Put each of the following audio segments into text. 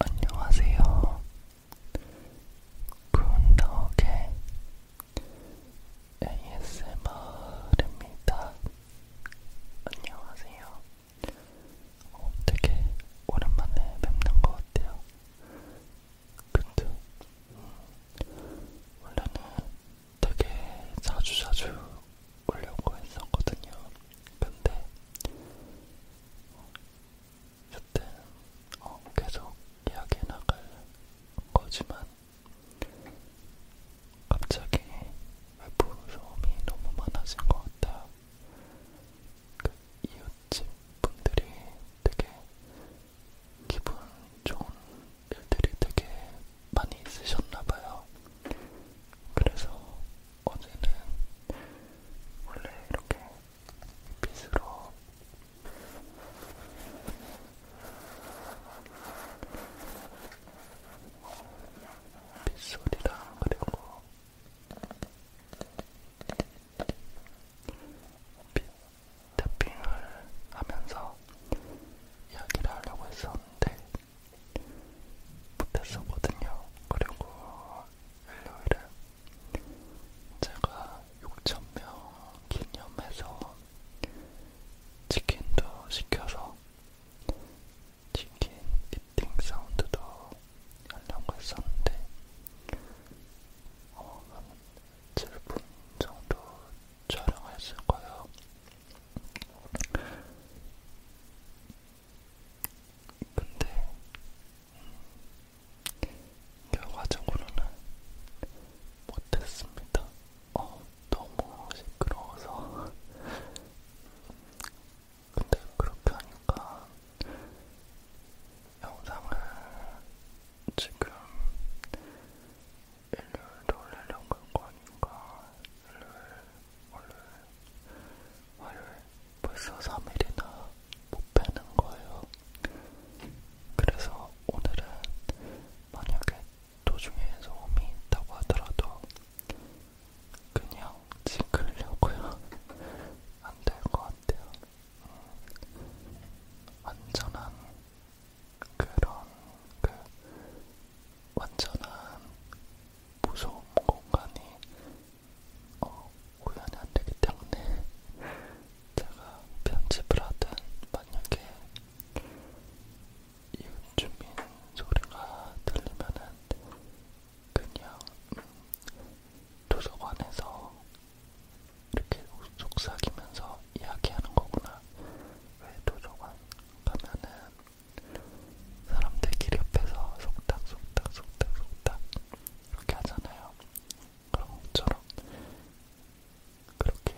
안녕하세요. 군덕의 ASMR입니다. 안녕하세요. 어, 되게 오랜만에 뵙는 것 같아요. 근데 음, 원래는 되게 자주자주 자주 오려고 했었거든요. 근데 여튼 어, 계속 이야기해 나갈 거지만 갑자기 외부 소음이 너무 많아진 것 같아요. 그 이웃집 분들이 되게 기분 좋은 일들이 되게 많이 있으셨나봐요. 그래서 어제는 원래 이렇게 빗으로 빗소리랑 그리고 빗 탭핑을 하면서 이야기를 하려고 했었는데 못했었거든요. 그리고 일요일에 제가 6,000명 기념해서 치킨도 시켜서 치킨 이팅 사운드도 하려고 했었는데 어, 한 7분 정도 촬영했을 거예요. 근데 음, 결과적으로는 못했습니다. 어, 너무 시끄러워서. 근데 그렇게 하니까 영상을 지금 일요일에 올리려고 할 거니까 일요일 월요일, 화요일 벌써 3일이나 못 빼는 거예요. 그래서 오늘은 만약에 도중에 소음이 있다고 하더라도 그냥 찍으려고요. 안 될 것 같아요. 음, 완전한 그런 그 완전한 무서운 공간이 어, 오해는 안 되기 때문에 제가 편집을 하든 만약에 이웃주민 소리가 들리면은 그냥 음, 도서관에서 이렇게 속삭이면서 이야기하는 거구나. 왜 도서관 가면은 사람들끼리 옆에서 속닥 속닥 속닥 속닥 이렇게 하잖아요. 그런 것처럼 그렇게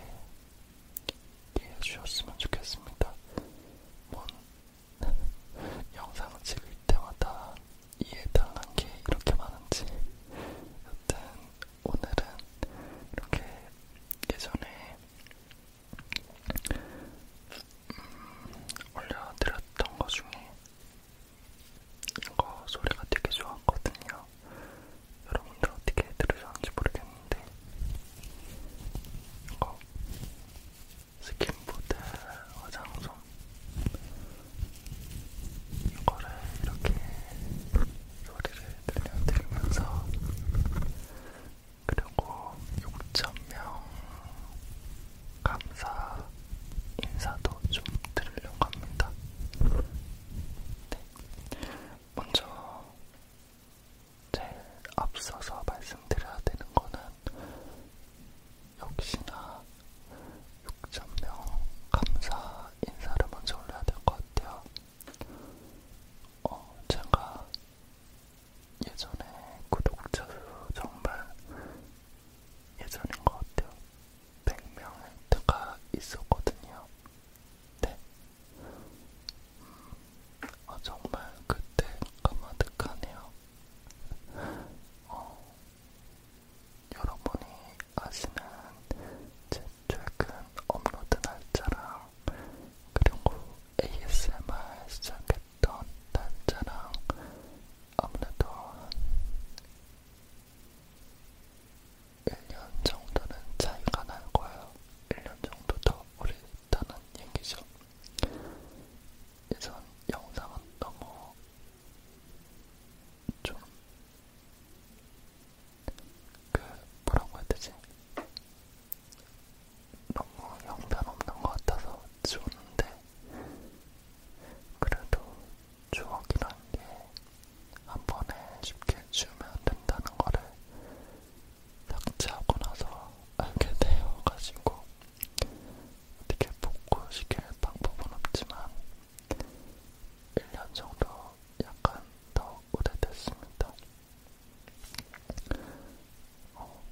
이해해 주셨으면 좋겠습니다. 뭔 영상을 찍을 때마다 이해당한 게 이렇게 많은지 여튼 오늘은 이렇게 예전에 음, 올려드렸던 것 중에 이거 소리가 되게 좋았거든요. 여러분들 어떻게 들으셨는지 모르겠는데 이거 스킨보드 화장솜 이거를 이렇게 소리를 들려드리면서 그리고 6,000명 감사 인사도 좀 드리려고 합니다. 네. 먼저 제일 앞서서 말씀드려야 되는 거는 역시나 6,000명 감사 인사를 먼저 올려야 될 것 같아요. 어, 제가 예전에 구독자 수 정말 예전인 것 같아요. 100명 멘트가 있었거든요. 네. 음, 아, 정말 그때 까마득하네요. 어, 여러분이 아시는 제 최근 업로드 날짜랑 그리고 ASMR 시작했던 날짜랑 아무래도 한 1년 정도는 차이가 날 거예요. 1년 정도 더 오래 있다는 얘기죠. 예전 영상은 너무 좀, 그, 뭐라고 해야 되지? 너무 형편없는 것 같아서 좋은데 그래도 추억이란 게한 번에 쉽게 지우면 된다는 거를 삭제하고 나서 알게 되어가지고 어떻게 복구시킬 방법은 없지만 1년 정도 약간 더 오래됐습니다. 어,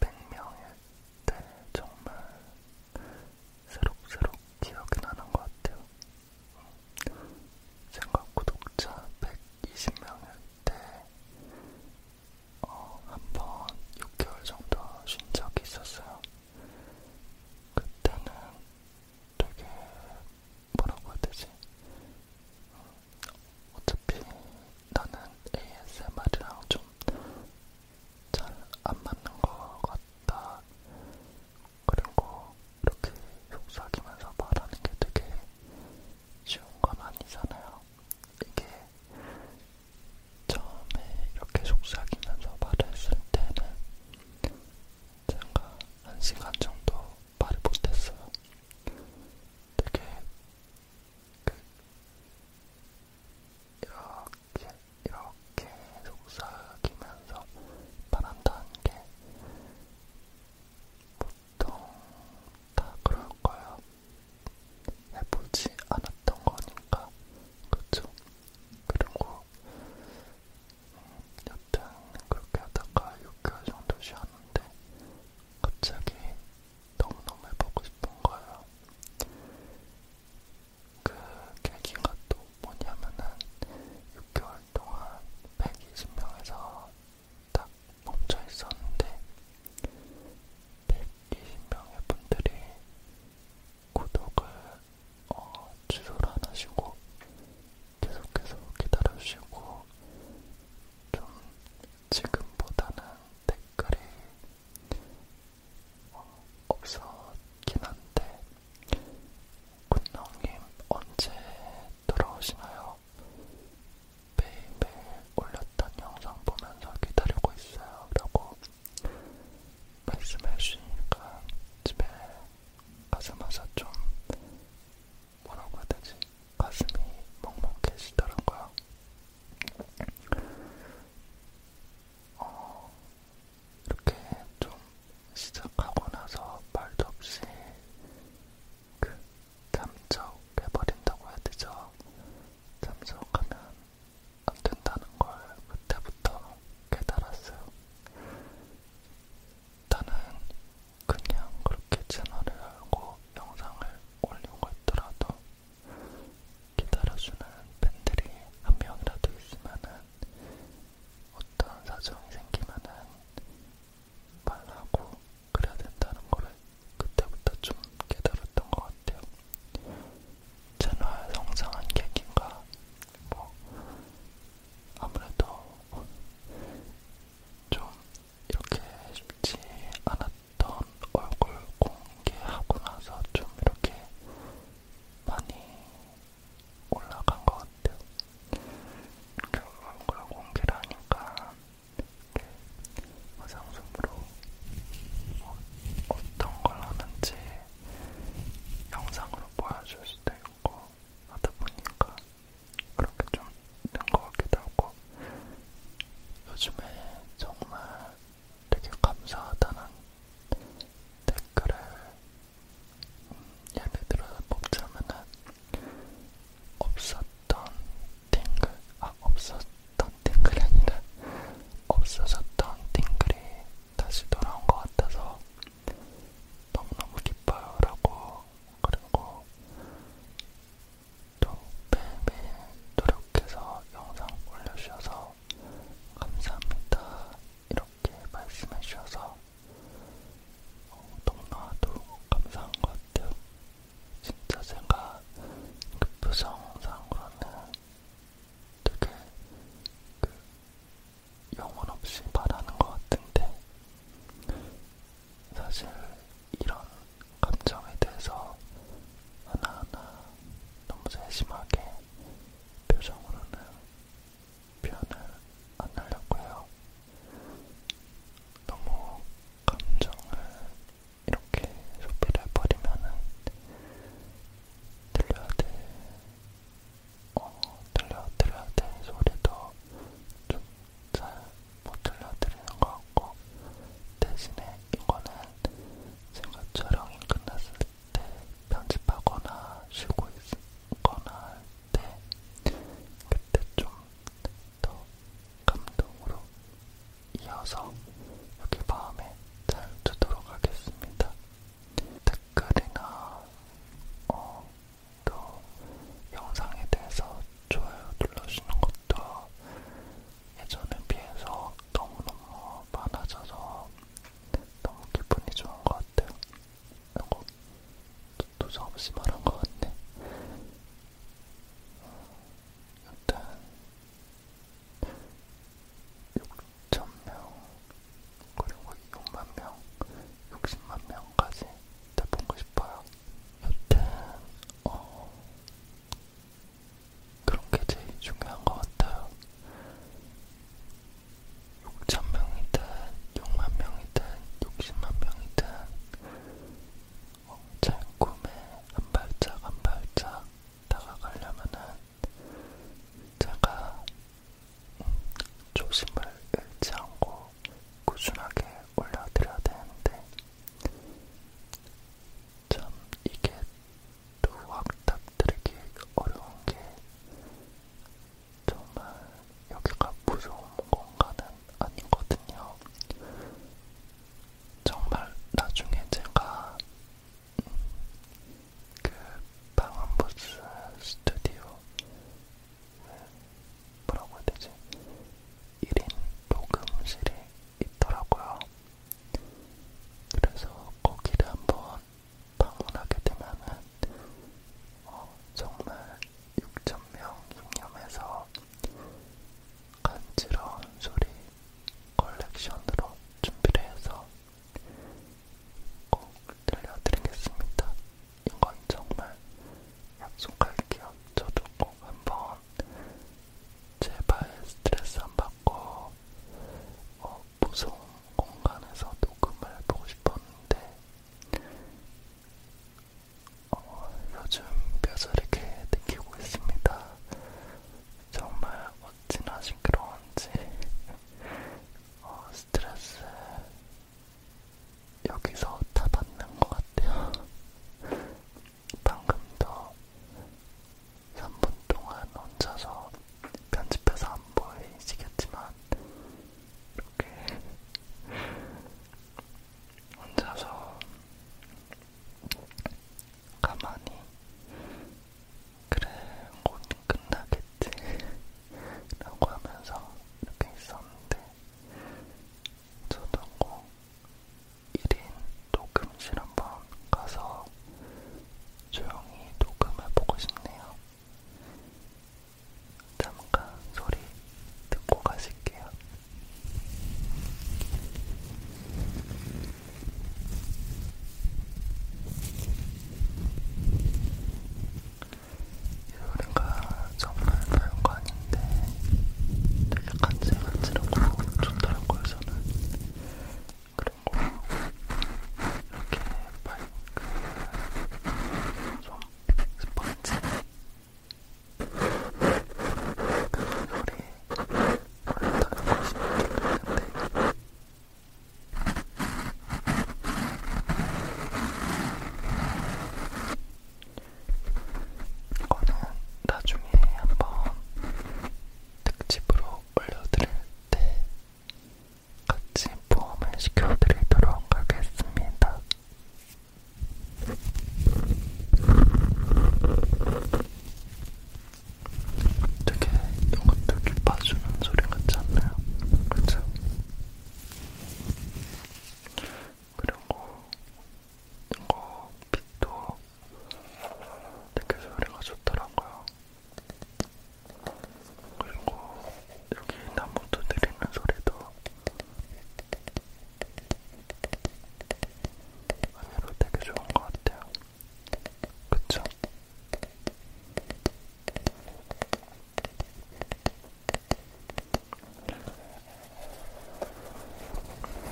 100명의 때 정말 새록새록 기억이 나는 것 같아요. 생각 음, 구독자 120명일 때 어, 한 번 6개월 정도 쉰 적이 있었어요. 그때는 되게 뭐라고 해야 되지? 음, 어차피 나는 ASMR이랑 좀 잘안 맞는 것 같다. 그리고 이렇게 속삭이면서 말하는 게 되게 쉬운 건 아니잖아요. 이게 처음에 이렇게 속삭이면서 말했을 때는 제가 한 시간 정도 말을 못했어요. 되게 그 이렇게, 이렇게 속삭이면서 바란다는 게 보통 다 그럴 거야. 해보지 않았던 거니까. 그쵸? 그리고, 음, 여튼 그렇게 하다가 6개월 정도 쉬었는데, 갑자기 너무너무 해보고 싶은 거예요. 그 계기가 또 뭐냐면은 6개월 동안 120명에서 딱 멈춰 있었는데 120명의 분들이 구독을 어, 취소를 안 하시고 계속해서 기다려주시고 좀 지금보다는 댓글이 없었긴 한데 군영님 언제 돌아오시나요? 매일매일 올렸던 영상 보면서 기다리고 있어요 라고 말씀해 주시니까 집에 가자마자 좀 뭐라고 해야 되지? 가슴이 먹먹해지더라고요. 어, 이렇게 좀 시작하고 나서 말도 없이 그 잠적해버린다고 해야 되죠. 잠적하면 안 된다는 걸 그때부터 깨달았어요. 나는 그냥 그렇게 채널을 열고 영상을 올린 거 있더라도 기다려주는 팬들이 한 명이라도 있으면은 어떤 사정이 생기면은 말하고 그래야 된다는 거를 그때부터 좀 깨달았던 것 같아요. 채널 성장한 계기인가 뭐 아무래도 좀 이렇게 쉽지 않았던 얼굴 공개하고 나서 좀 이렇게 많이 올라간 것 같아요. 결과를 공개를 하니까 화상수으로 뭐 어떤 걸 하는지 영상으로 보여줄 수도 있고 하다 보니까 그렇게 좀 된 것 같기도 하고 요즘에 정말 되게 감사하다는 댓글을 음, 예를 들어서 뽑자면은 없었던 띵글 아 없었던 띵글이 아니라 없어졌던 띵글이 다시 돌아온 것 같아서 너무너무 기뻐요라고 그리고 또 매일매일 노력해서 영상 올려주셔서 감사합니다. 이렇게 말씀해 주셔서 어, 너무나도 감사한 것 같아요. 진짜 제가 그 표정상으로는 되게 그 영혼 없이 말하는 것 같은데 사실 이런 감정에 대해서 하나하나 너무 세심하게 표정으로는 표현을 안 하려고 해요. 너무 감정을 이렇게 소비를 해버리면은 들려야 돼, 어, 들려, 들려야 돼 소리도 좀 잘 못 들려드리는 것 같고, 대신에 이거는 제가 촬영이 끝났을 때 편집하거나 쉬고 있거나 할 때 그때 좀 더 감동으로 이어서 여기 마음에 잘 두도록 하겠습니다. 댓글이나 어, 또 영상에 대해서 좋아요 눌러주는 것도 예전에 비해서 너무너무 많아져서 너무 기분이 좋은 것 같아요. 이거 도저 없이 말한 것 같네. 음, 일단 6천명 그리고 6만명 60만명까지 다 보고 싶어요 여튼 어, 그런 게 제일 중요한 것 같아요. 6천 명이든 6만 명이든 60만 명이든 제 꿈에 한 발짝 한 발짝 다가가려면은 제가 조심을 잃지 않고 꾸준하게 올려드려야 되는데 참 이게 또 확답 드리기 어려운 게 정말 여기가 무서운 공간은 아니거든요. 정말 나중에 제가 그 방음부스 스튜디오 뭐라고 해야 되지? 1인 녹음실이 있더라고요. 그래서 거기를 한번 방문하게 되면은 어, 정말 6,000명 입념해서 간지러운 소리 컬렉션으로 준비를 해서 꼭 들려드리겠습니다. 이건 정말 약속할게요. 저도 꼭 한번 제발 스트레스 한번 하고 어, 무서운 공간에서 녹음을 해보고 싶었는데 어, 요즘 뼈저리게 느끼고 있습니다. 정말 어찌나 징그러운지 어, 스트레스 여기서 다 받는 것 같아요. 방금도 3분 동안 혼자서 편집해서 안 보이시겠지만 이렇게 혼자서 가만히 그래 곧 끝나겠지 라고 하면서 이렇게 있었는데 저도 꼭 1인 녹음실 한번 가서 조용히 녹음해보고 싶네요. 잠깐 소리 듣고 가실게요. 이 소리가 정말 별거 아닌데 되게 간지간지럽고 좋더라고요 저는 그런 거 이렇게 밝은 좀 스펀지 그소리 올려달라고 싶은데 이거는 나중에 한번 특집으로 올려드릴 때 같이 포함을 시켜드리도록 하겠습니다. 되게 이것도 깊어주는 소리 같지 않나요? 그렇죠? 그리고 이거 빛도 되게 소리가 좋더라고요. 그리고 여기 나무 두드리는 소리도 안으로 되게 좋은 것 같아요. 그쵸?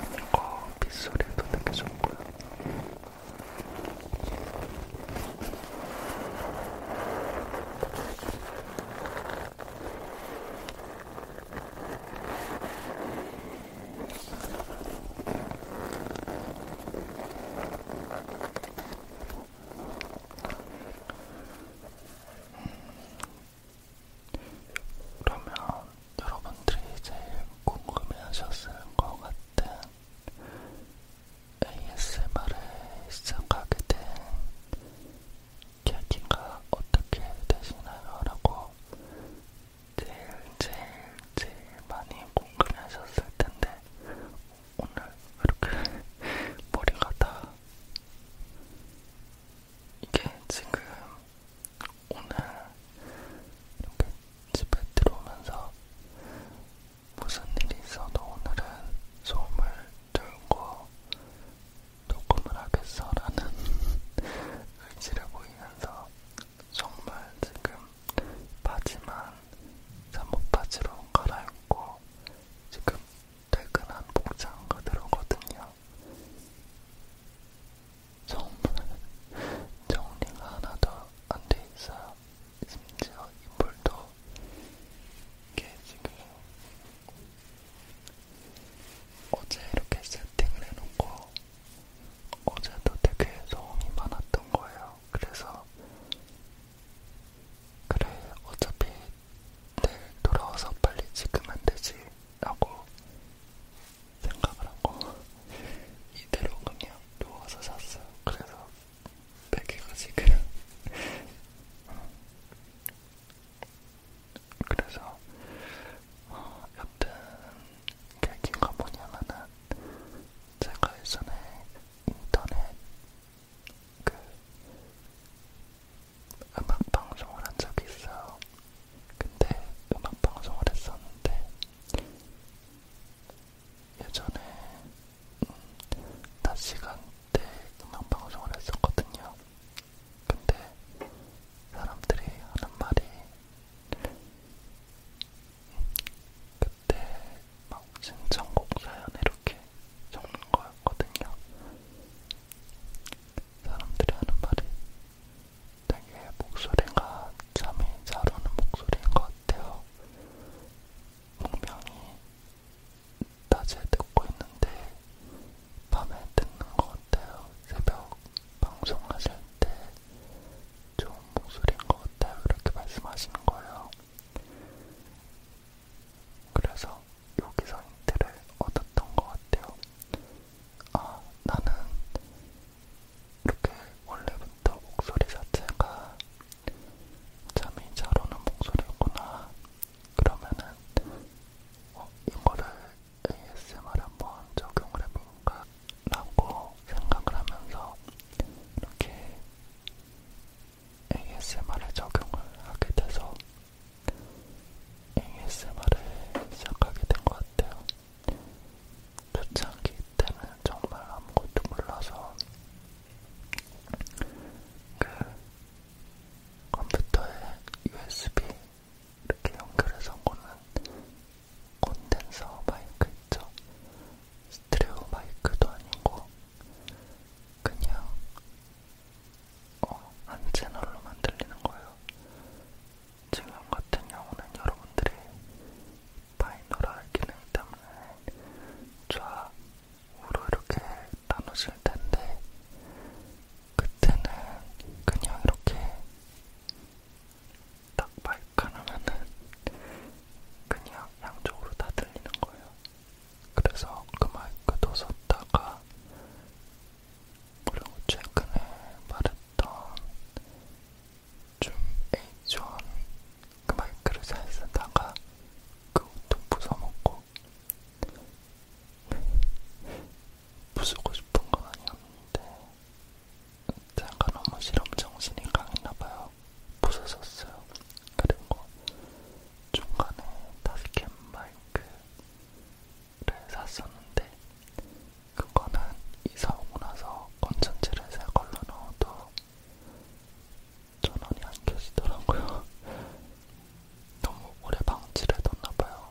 이거 빗소리도 되게 좋고요. 그러면 여러분들이 제일 궁금해하셨을 것 같은 ASMR을 시작하게 된 계기가 어떻게 되시나요? 라고 제일 제일 제일 많이 궁금해 하셨을 텐데 오늘 이렇게 머리가 다 이게 지금 오늘 이렇게 집에 들어오면서 무슨 일이 있어도 오늘은 소음을 들고 녹음을 하겠어라는 의지를 보이면서 정말 지금 바지만 잠옷바지로 갈아입고 지금 퇴근한 복장 그대로거든요. 정말 정리가 하나도 안돼 있어요. 심지어 인물도 이게 지금 어제 이렇게 세팅을 해놓고 어제도 되게 소음이 많았던 거예요. 그래서 그래 어차피 내일 돌아와서 빨리 찍으면 되지 라고 생각을 하고 이대로 그냥 누워서 잤어요. 그래서 베개가 지금 어. 그래서 어, 여튼 계기가 뭐냐면은 제가 예전에 인터넷 그 음악 방송을 한 적이 있어요. 근데 음악 방송을 했었는데 예전에 음, 낮 시간대 음악 방송을 했었거든요. 근데 사람들이 하는 말이 그때 막 신청곡 사연 이렇게 적는 거였거든요. 사람들이 하는 말이 되게 목소리가 잠이 잘 오는 목소리인 것 같아요. 분명히 낮에 듣고 있는데 밤에 듣는 것 같아요. 새벽 방송하실 때 좋은 목소리인 것 같아요. 이렇게 말씀하시는 거예요. 그래서 여기서 힌트를 얻었던 것 같아요. 아, 나는 이렇게 원래부터 목소리 자체가 잠이 잘 오는 목소리였구나. 그러면은 어, 이거를 ASMR 한번 적용을 해볼까? 라고 생각을 하면서 이렇게 ASMR에 적용을 하게 돼서 ASMR을 시작하게 된 것 같아요. 초창기 때는 정말 아무것도 몰라서 그 컴퓨터에 USB 이렇게 연결해서 오는 콘덴서 마이크 있죠? 스트레오 마이크도 아니고 그냥 어, 한 채널로만 들리는 거예요. 지금 같은 경우는 여러분들이 바이너럴 기능 때문에 좌우로 이렇게 나누실 텐데 그때는 그냥 이렇게 딱 발가락하면은 그냥 양쪽으로 다 들리는 거예요. 그래서 그 마이크도 썼다가 그리고 최근에 말했던 좀 예전 그 마이크를 잘 쓰다가 그 옷도 부숴먹고 부수고 싶은 건 아니었는데 제가 너무 실험정신이 강했나봐요 부숴졌어요 그리고 중간에 다스캠 마이크를 샀었는데 그거는 이사오고 나서 건전지를 새 걸로 넣어도 전원이 안 켜지더라고요. 너무 오래 방치를 해뒀나봐요.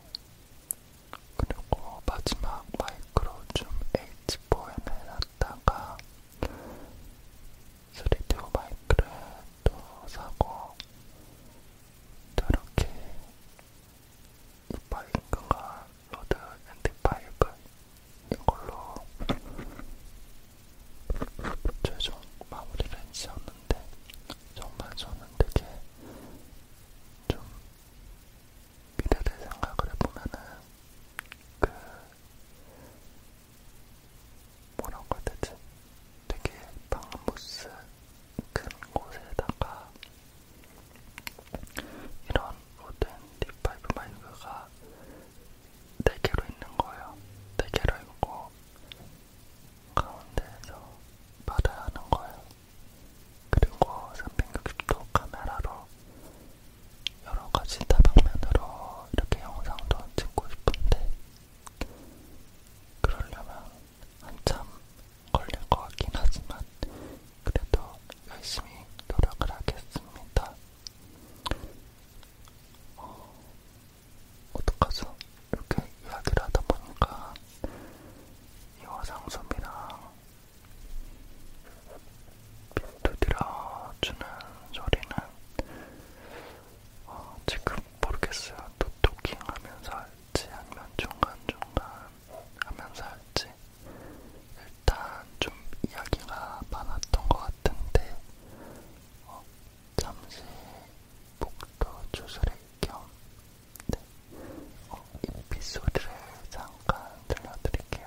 그리고 마지막 마이크로줌 H4M을 샀다가 3D 마이크를 또 사고 또 이렇게 이 마이크가 로드 엔드 파이브 이걸로 최종 마무리를 지었는데 정말 저는 되게 좀 미래를 생각을 해보면은 그 뭐라고 해야 되지? 되게 방부스 큰 곳에다가 이런 모든 딥파이브 마이크가 네 개로 있는 거예요. 네 개로 있고 가운데에서 받아야 하는 거예요. 그리고 360도 카메라로 여러 가지 다방면으로 이렇게 영상도 찍고 싶은데 그러려면 한참 걸릴 것 같긴 하지만 그래도 열심히 노력을 하겠습니다. 어, 어떡하죠? 이렇게 이야기를 하다 보니까 이 화상솜이랑 두드려 주는 소리는 어, 지금 모르겠어요. 또 토킹 하면서 할지 아니면 중간중간 하면서 할지 일단 좀 이야기가 많았던 것 같은데 어, 잠시 목도 조절할 겸 네. 어, 입 소리를 잠깐 들려드릴게요.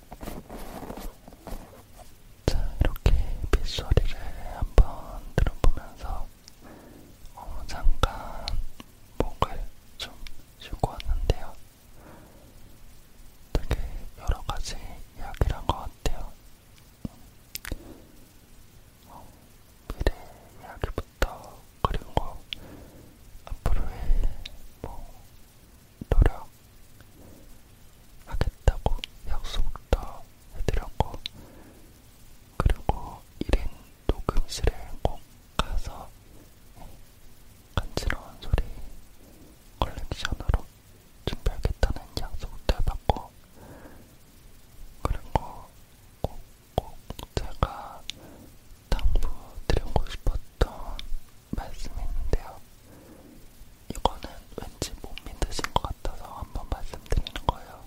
자, 이렇게 빗소리를 한번 들어보면서 어, 잠깐 목을 좀 쉬고 왔는데요. 되게 여러 가지 이야기를 한것 같아요. 어, 미래 이야기부터 그리고 앞으로의 뭐 노력하겠다고 약속도 해드렸고, 그리고 1인 녹음실에 꼭 가서 간지러운 소리 컬렉션으로 준비하겠다는 약속도 해봤고, 그리고 꼭꼭 제가 당부 드리고 싶었던 말씀했는데요. 이거는 왠지 못 믿으신 것 같아서 한번 말씀드리는 거예요.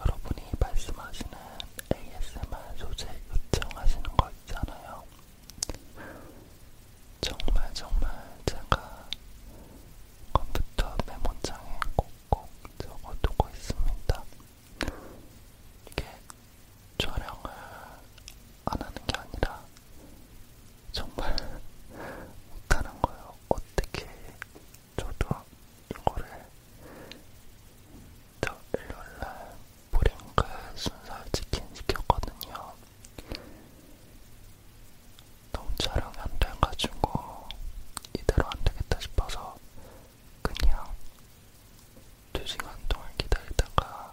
여러분이 말씀하시는 ASMR 소재 요청하시는 거 있잖아요. 정말 정말 제가 컴퓨터 메모장에 꼭꼭 적어두고 있습니다. 이게 촬영을 안 하는 게 아니라 정말 못하는 거예요. 어떻게 저도 이거를 저 일요일날 브링크 순살 치킨 시켰거든요. 너무 촬영이 안 돼가지고 이대로 안 되겠다 싶어서 그냥 2시간 동안 기다리다가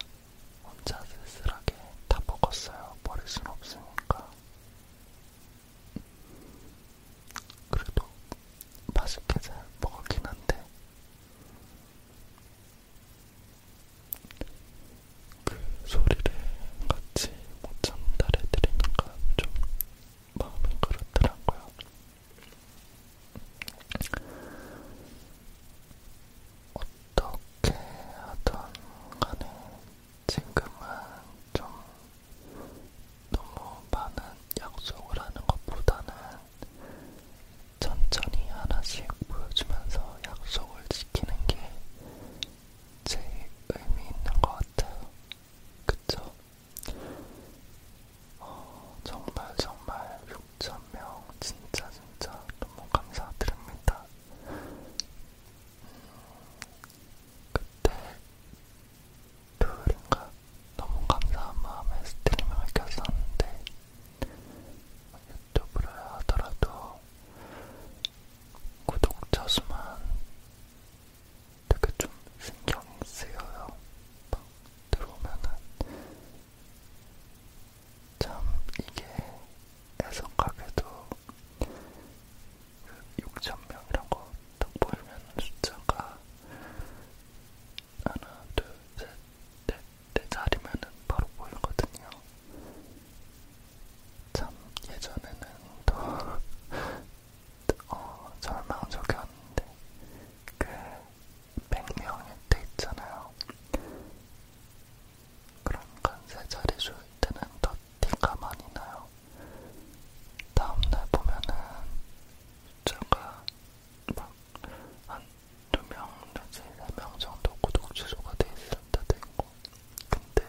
혼자 쓸쓸하게 다 먹었어요. 버릴 순 없으니까. 그래도 맛있게 잘 먹었긴 한데, 그 소리를 같이 못 참다 해드리니까 좀 마음이 그렇더라고요. 어떻게 하던 간에 지금은 좀 너무 많은 약속을 하는 것보다는 천천히 하나씩 보여주면서 약속을 지키는 게 제일 의미 있는 것 같아요. 그쵸? 어, 정말 정말 6,000명 진짜 진짜 너무 감사드립니다. 음, 그때 토요일인가 너무 감사한 마음에 스트리밍을 켰었는데 유튜브를 하더라도 구독자 수만 되게 좀 신경이 쓰여요. 들어오면은 참 이게 애석하게도 그 6,000명이라고 딱 보이면 숫자가 하나, 둘, 셋, 넷, 네 자리면은 바로 보이거든요. 참 예전에는 더 어, 절망 적이 왔는데 그 100명일 때 있잖아요. 그럼 간세 자리 줄 때는 더 티가 많이 나요. 다음날 보면은 숫자가 막 한 두명 내지 세명 정도 구독 취소가 돼 있을 때도 있고 근데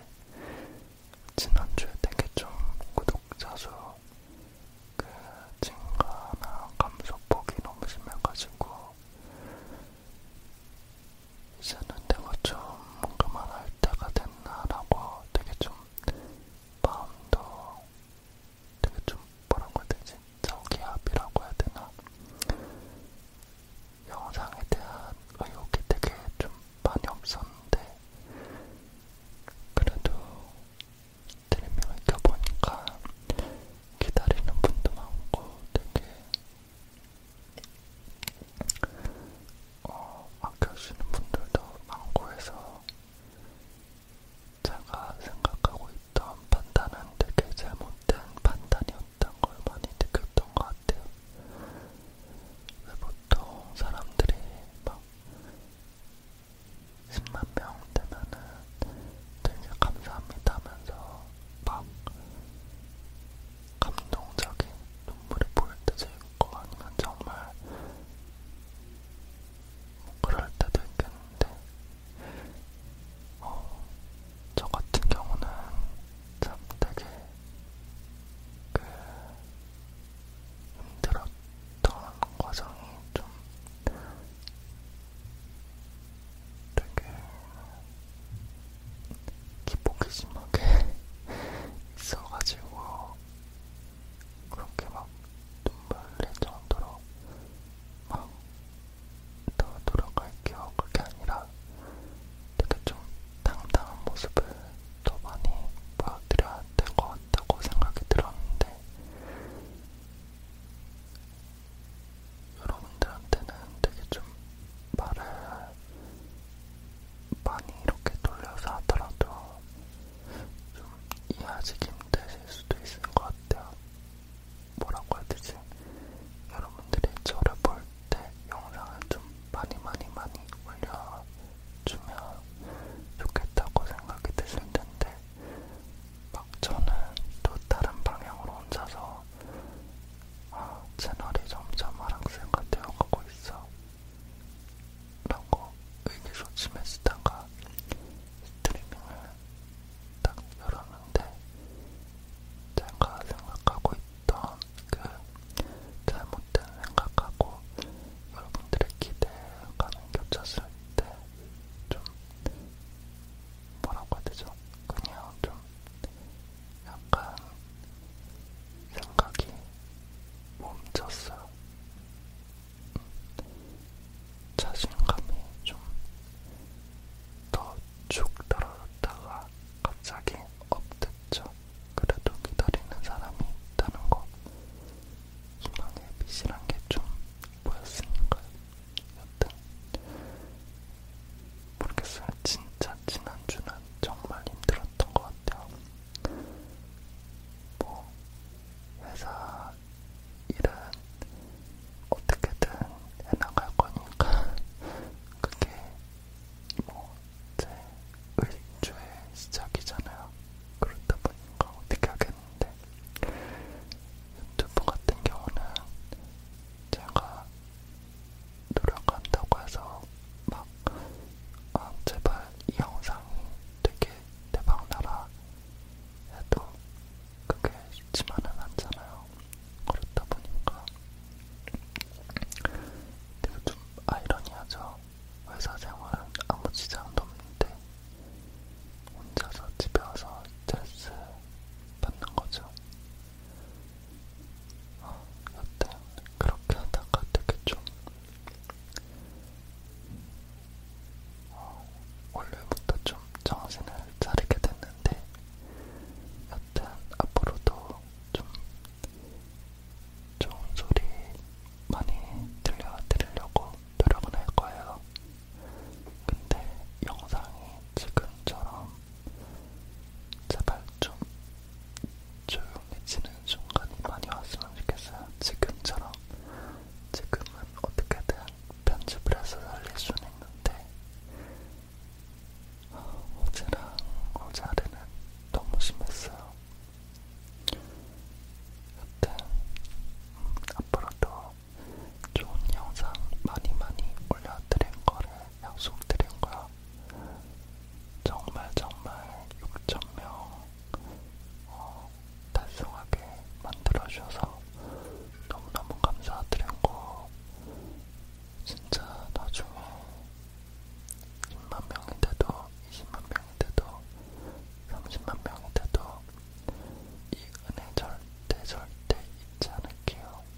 지난주에 되게 좀 구독자 수 그 증가나 감소폭이 너무 심해가지고 이제는 내가 좀 그만할 때가 됐나라고 되게 좀 마음도 되게 좀 뭐라고 해야 되지? 저기압이라고 해야 되나? 영상에 대한 의욕이 되게 좀 많이 없었는데 그래도 스트리밍을 켜보니까 기다리는 분도 많고 되게 어, 아껴주시는 분들도 많고 해서 제가 생각하고 있던 판단은 되게 잘못된 판단이었던 걸 많이 느꼈던 것 같아요. 보통 사람들이 막 10만 명 되면은 되게 감사합니다 하면서 막 감동적인 눈물이 보일 때도 있고 아니면 정말 뭐 그럴 때도 있겠는데 어, 저 같은 경우는 참 되게 그 힘들었던 과정이 좀 되게 기복이 심하게 있어가지고 그렇게 막 눈물 낼 정도로 막 더 돌아갈게요 그게 아니라 되게 좀 당당한 모습을 더 많이 보여드려야 될 것 같다고 생각이 들었는데 여러분들한테는 되게 좀 말을 많이 이렇게 돌려서 하더라도 좀 이해하시기 힘드실 수도 있을 것 같아요. 뭐라고 해야 되지? 여러분들이 저를 볼 때 영상을 좀 많이 많이 많이 올려주면 좋겠다고 생각이 드실 텐데 막 저는 또 다른 방향으로 혼자서 아, 채널이 점점 하락세가 되어가고 있어. 라고 의기소침했다가 스트리밍을 딱 열었는데 제가 생각하고 있던 그 잘못된 생각하고 여러분들의 기대감이 겹쳤을 때 좀 뭐라고 해야 되죠? 그냥 좀 약간 생각이 멈췄어요. 자신감이 좀 더 쭉 떨어졌다가 갑자기 업됐죠. 그래도 기다리는 사람이 있다는 거 희망의 빛이란 게 좀 보였으니까요. 여튼 모르겠어요. 진짜 지난주는 정말 힘들었던 것 같아요. 뭐 회사 일은 어떻게든 해나갈 거니까 그게 뭐제 일주의 시작이잖아요. 그렇다 보니까 어떻게 하겠는데 유튜브 같은 경우는 제가 노력한다고 해서 막 아, 제발 이 영상이 되게 대박나라 해도 그게 쉽지만은 않잖아요. 그렇다 보니까 되게 좀 아이러니하죠. 회사 생활은 아무 지장도 없는데 혼자서 집에 와서 스트레스 받는 거죠. 여튼 그렇게 하다가 되게 좀 어, 원래부터 좀 정신을 차리게 됐는데 여튼 앞으로도 좀 좋은 소리 많이 들려드리려고 노력은 할 거예요. 근데 영상이 지금처럼 제발 좀 조용해지는 순간이 많이 왔으면 좋겠어요. 지금처럼 지금은 어떻게든 편집을 해서 살릴 수는 있는데 어제랑 어제하루는 너무 심했어요. 여튼 음, 앞으로도 좋은 영상 많이 많이 올려드릴 거를 약속드린 거야. 정말 정말 6,000명 어, 달성하게 만들어주셔서 너무너무 감사드리고 진짜 나중에 10만 명이 돼도 20만 명이 돼도 30만 명이 돼도 이 은혜 절대 절대 잊지 않을게요.